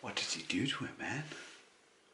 What did he do to it, man?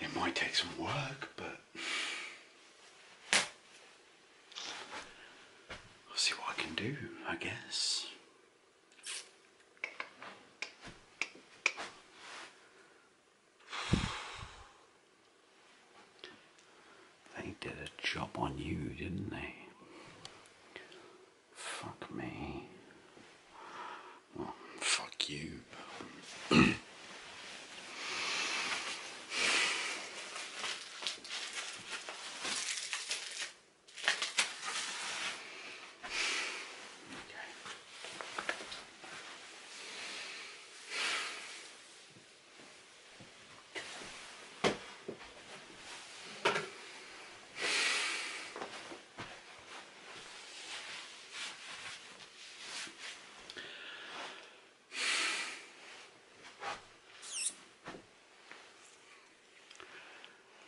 It might take some work, but I'll see what I can do, I guess. They did a job on you, didn't they? Fuck me. Oh, fuck you.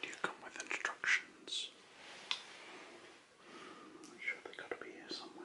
Do you come with instructions? I'm sure they gotta be here somewhere.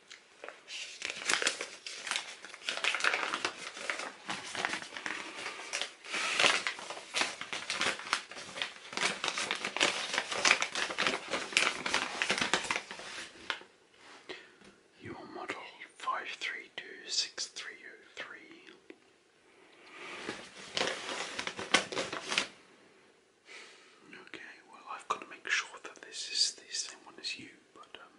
Your model five three two six three oh three. Okay, well, I've got to make sure that this is the same one as you, but um,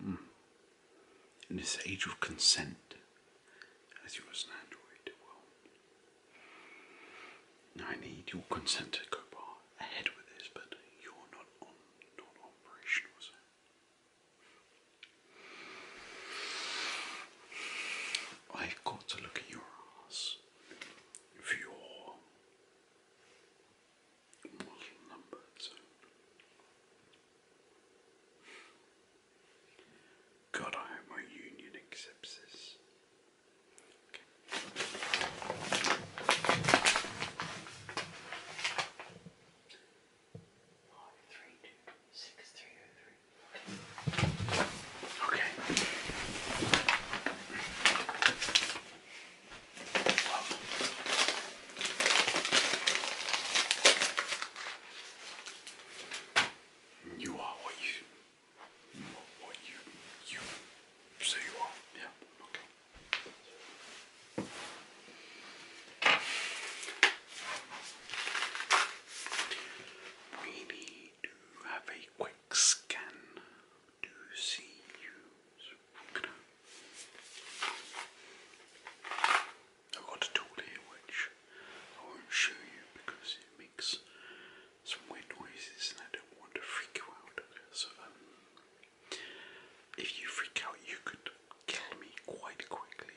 hmm. in this age of consent, as you as an android, well, I need your consent to go ahead with this, but you're not on, not operational, I've got to look at your ass your model numbers. God, I hope my union accepts this. Oh, Okay. You are what you, what you, you say you are. Yeah. Okay. We do have a quick scan to see you. I've got a tool here which I won't show you because it makes some weird noises and I don't want to freak you out. So, um, if you freak out, you could kill me quite quickly.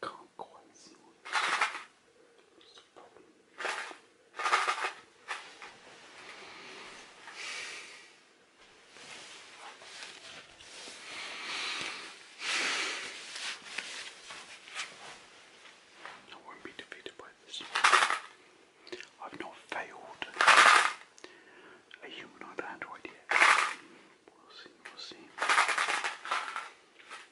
I won't be defeated by this. I've not failed a humanoid android yet. We'll see, we'll see.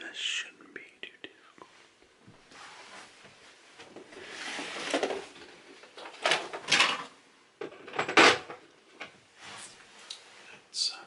That shouldn't be too difficult. That's uh,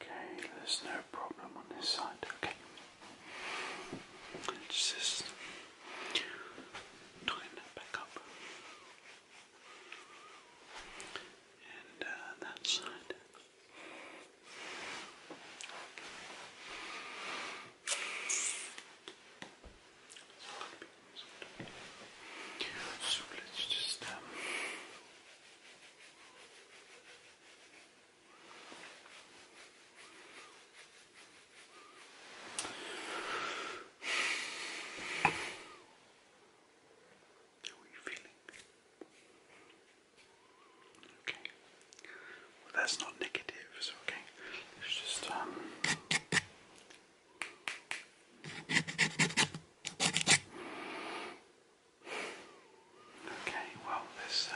Okay, there's no problem on this side. Okay, just tighten that back up, and uh, that side. So let's just um, how are you feeling? Okay. Well, that's not negative, so okay. let just um, Okay, well, this. Uh...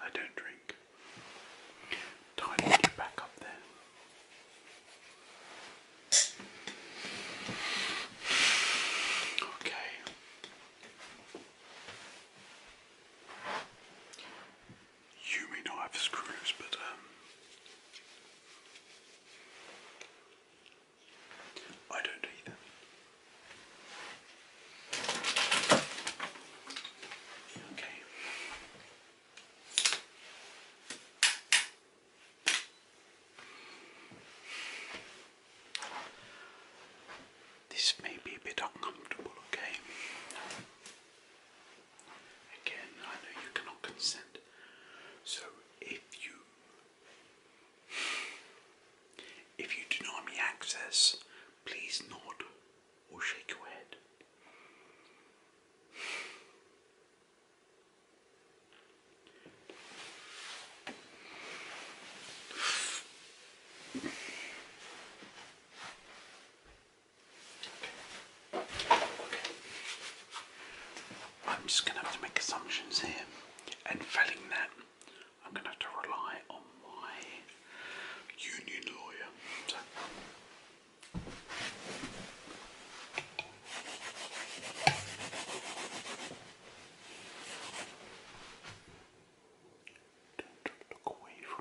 I don't drink. Tidy you back up there. Okay. You may not have screws, but um, I don't either. Okay. This may be a bit uncomfortable, okay? Again, I know you cannot consent. So if you if you deny me access, please nod or shake your head. I'm just going to have to make assumptions here, and failing that, I'm going to have to rely on my union lawyer. Don't look away from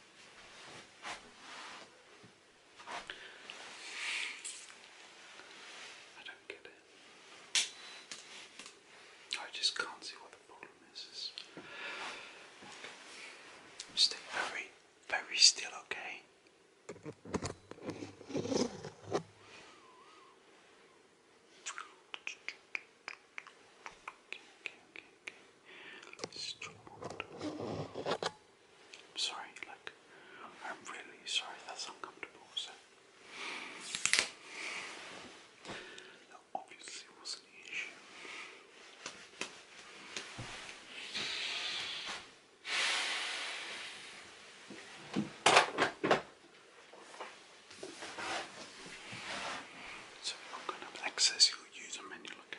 I don't get it. I just can't see what the problem is. Stay very, very still, okay. I'm sorry, like, I'm really sorry that's uncomfortable, so. obviously was an issue. So, I'm going to access your user menu Okay.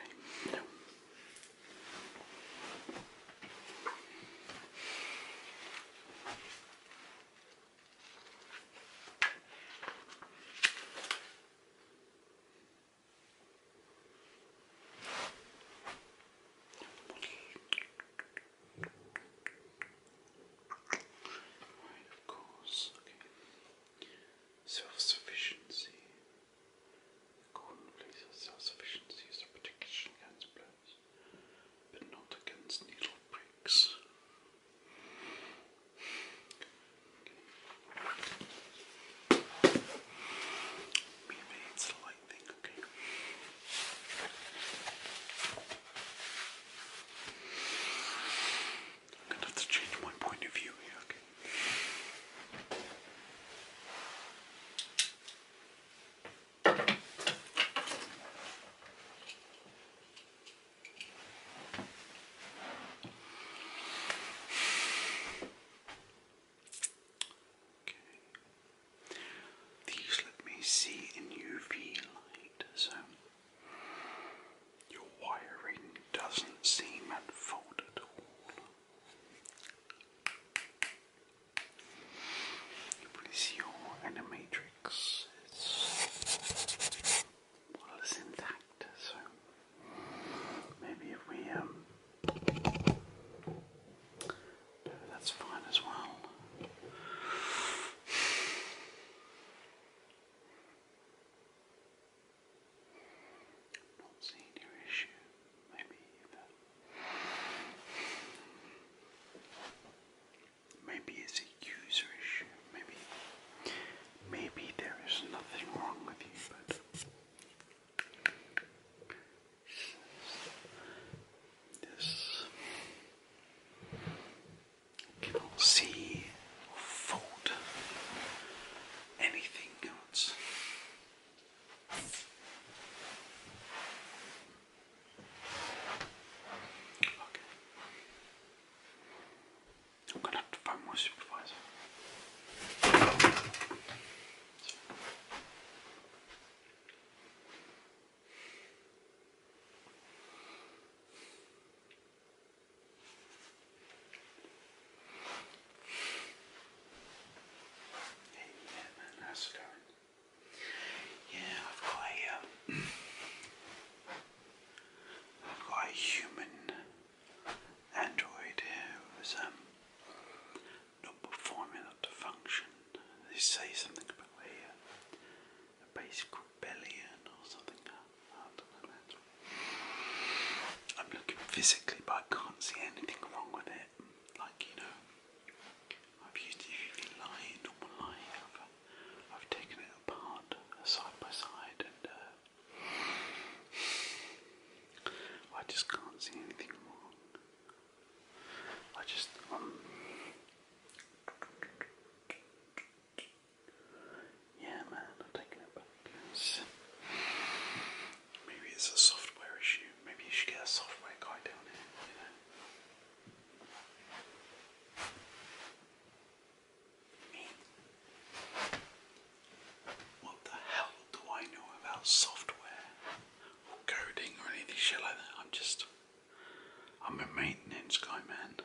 Right, of course self sufficiency. The golden self sufficiency is protection against blows, but not against needle pricks. Maybe it's a light thing, okay. I'm gonna have to change my point of view here, okay? These let me see in UV light, so your wiring doesn't seem at fault at all. Please, your animatrix well, intact, so maybe if we um, that's fine as well i your issue, maybe either. Maybe it's a user issue, maybe maybe there is nothing wrong with you, but this cannot see or anything pounds. Okay. I'm gonna have to find my supervisor. Amen, man. Yeah, I've got a, have um, got a human android who's um, not performing to function. They say something about a, uh, basic rebellion or something. I am looking physically, but I can't see anything wrong with it. Like, you know, I've used the normal light, I've, taken it apart side by side, and uh, I just can't see anything wrong. I just, um, yeah, man, I'm taking it back. maybe it's a software issue. Maybe you should get a software guy down here. You know? What the hell do I know about software coding or anything shit like that? I'm just. I'm a maintenance guy, man.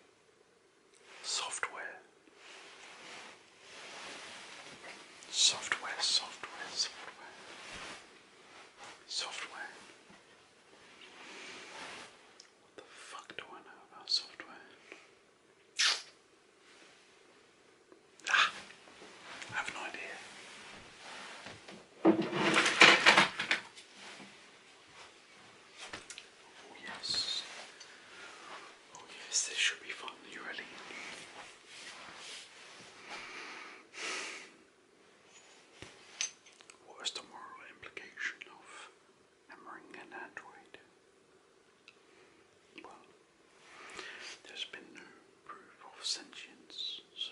Software. Software, software, software. Software. What the fuck do I know about software? Ah, I have no idea. Oh yes. Oh yes, this should be fun. Are What is the moral implication of hammering an android? Well, there's been no proof of sentience, so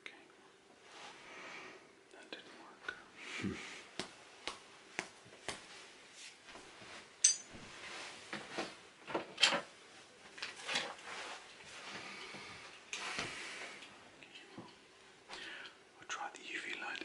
Okay. That didn't work. I'll try the UV light again.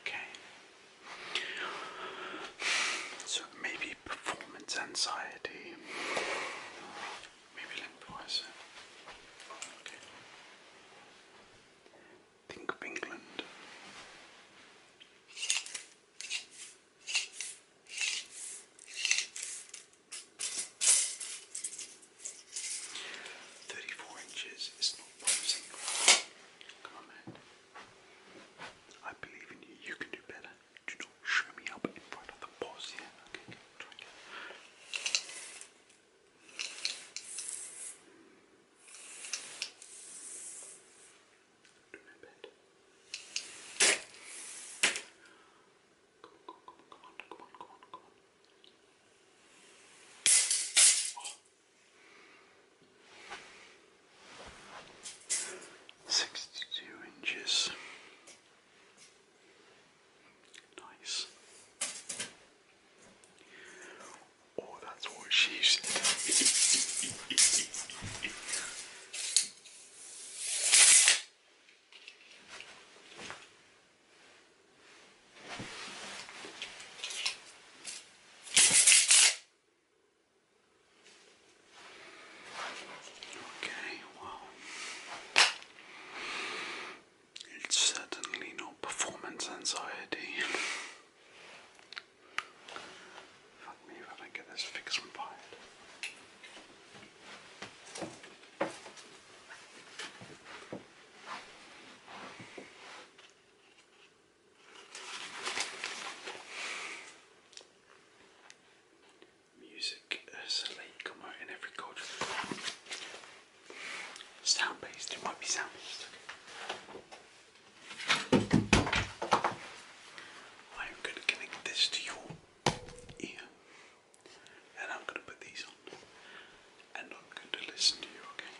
Okay. So maybe performance anxiety. Maybe lengthwise. Okay. Think of England. 34 inches is not one single comment. I believe in you, you can do better. Do not show me up in front of the boss, yeah? Okay, try again. Do my bed. Come on, come on, come on, come on, come on, come on. Sixty-two inches. Nice. Oh, that's what she said. Okay, well, it's certainly not performance anxiety. Fuck me if I don't get this fixed and fired. Music is a late comer in every culture. Sound based, it might be sound based. I'm going to connect this to your ear and I'm going to put these on. I'm not going to listen to you, okay?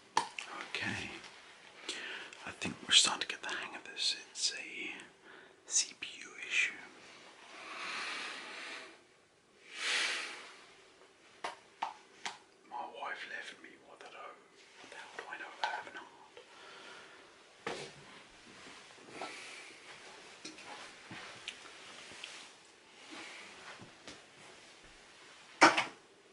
Okay, I think we're starting to get the hang of this. It's a CPU issue. My wife left me. What the hell? What the hell do I know about having a heart?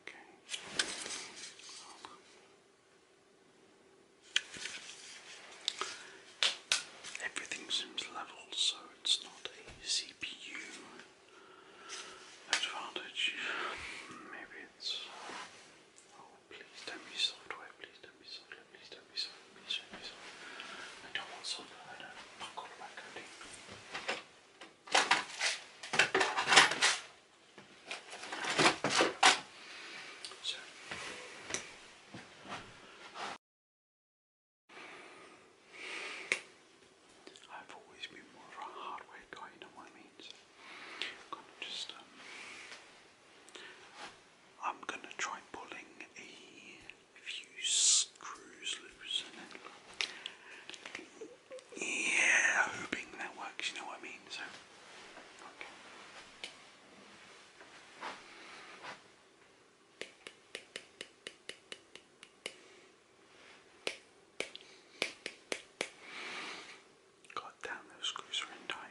Okay. Everything seems level, so it's not a CPU advantage. Maybe it's. Oh, please don't software, please don't software, please don't software, please don't software. I don't want software, I don't. I've got my coding. So. I've always been more of a hardware guy, you know what I mean? Um, I'm gonna try pulling a few screws loose and then yeah, hoping that works, you know what I mean? So, okay. God damn, those screws are tight.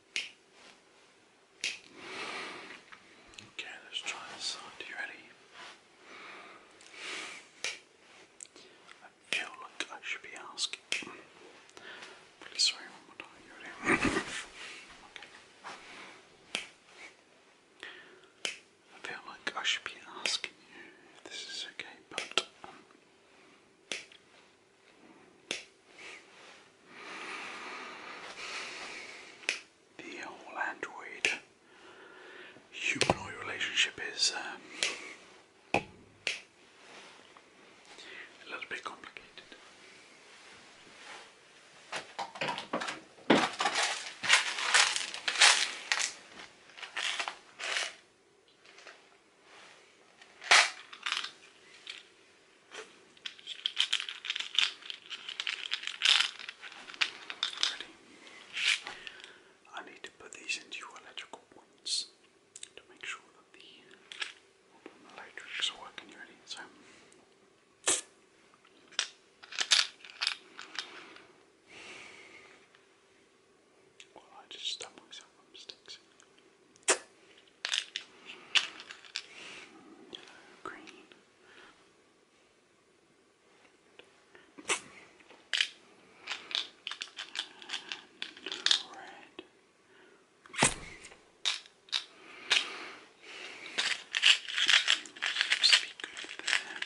Okay, let's try this side. Are you ready? I feel like I should be asking. Really sorry, one more time. You ready? okay. I feel like I should be asking you if this is okay, but um, the whole android humanoid relationship is um, a little bit complicated. Ready? I need to put these into your electrical points to make sure that the electrics are working. You ready? So. Well, I just stabbed myself sticks. Yellow, green. And red. Seems to be good there.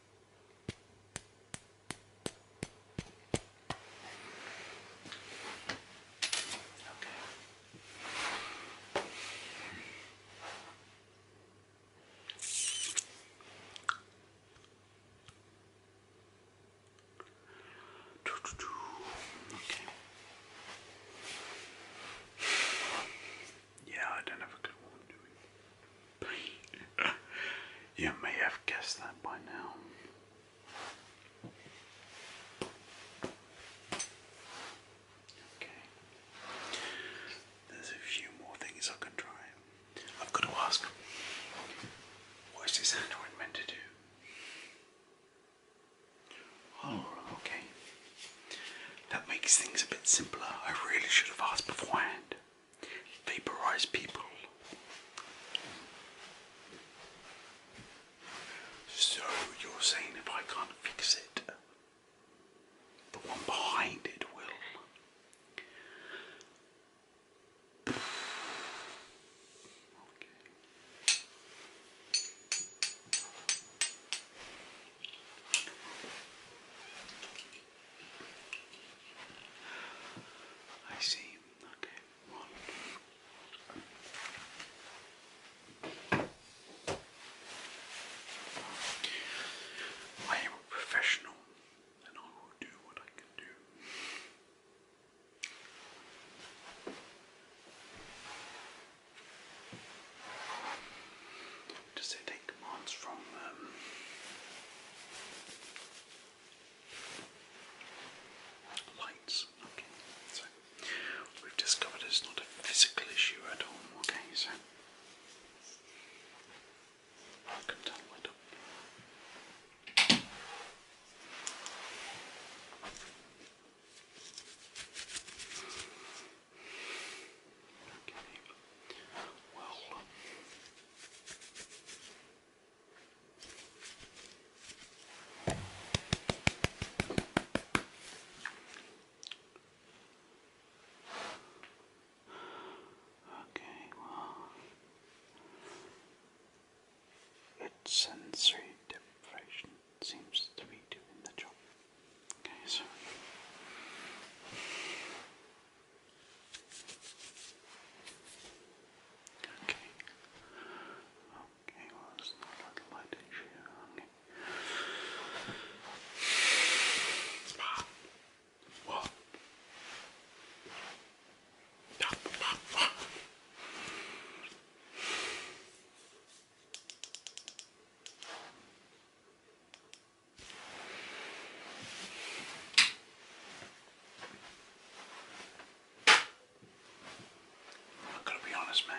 Okay. Yeah, I don't have a good one You may have guessed that by now. Okay. There's a few more things I can try. I've got to ask, what is this android meant to do? Oh, okay. That makes things a bit simpler. I really should have asked beforehand vaporize people. So you're saying if I can't fix it, the one behind it will. I see. Okay. One. I am a professional and I will do what I can do. Does it take from um, lights. Okay, so we've discovered it's not a physical issue at all. Okay, so I can tell it up. Okay. Well, Okay, well, its sensory deprivation seems to be doing the job. Okay, so Okay. Okay, well, it's not a little light issue. Okay. Pop. What? Pop, pop, pop. Okay. I gotta be honest, man.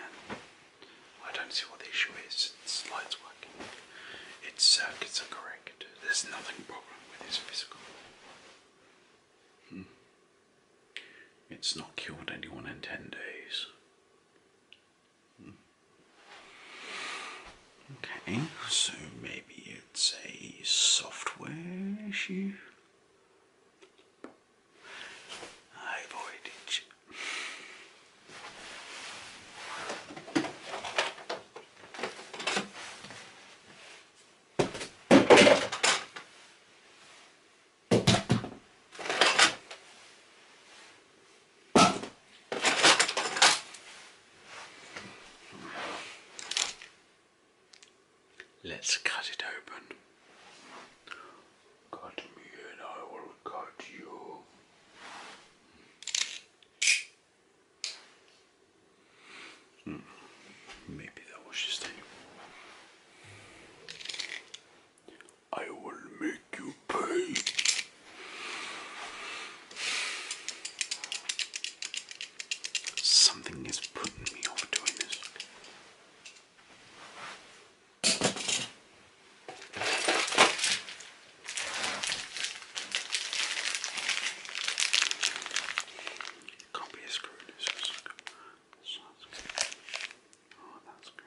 I don't see what the issue is. This light's working. Its circuits are correct. There's nothing problem with its physical. Hmm. It's not killed anyone in ten days. Hmm. Okay, so maybe it's a software issue. I avoided you. Let's cut it open. Cut me and I will cut you. Hmm. Maybe that was just a. I will make you pay. Something is putting me off doing this. Can't be a screw. This Oh, that's good.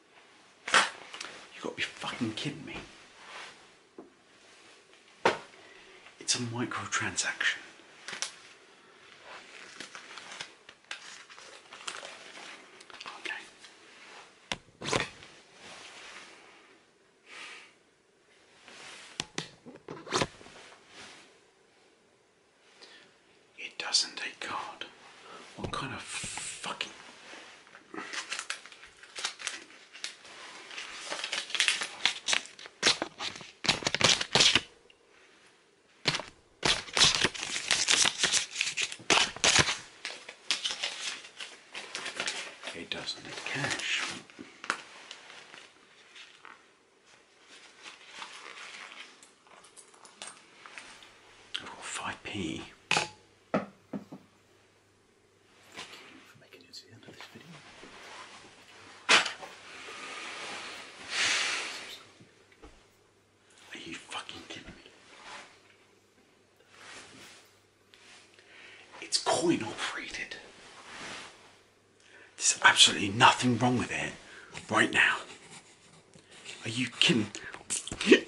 You've got to be fucking kidding me. It's a microtransaction. Okay. It doesn't take card. What kind of fucking a dozen of cash. I've got 5p. Thank you for making it to the end of this video. Are you fucking kidding me? It's coin operated. There's absolutely nothing wrong with it right now. Are you kidding?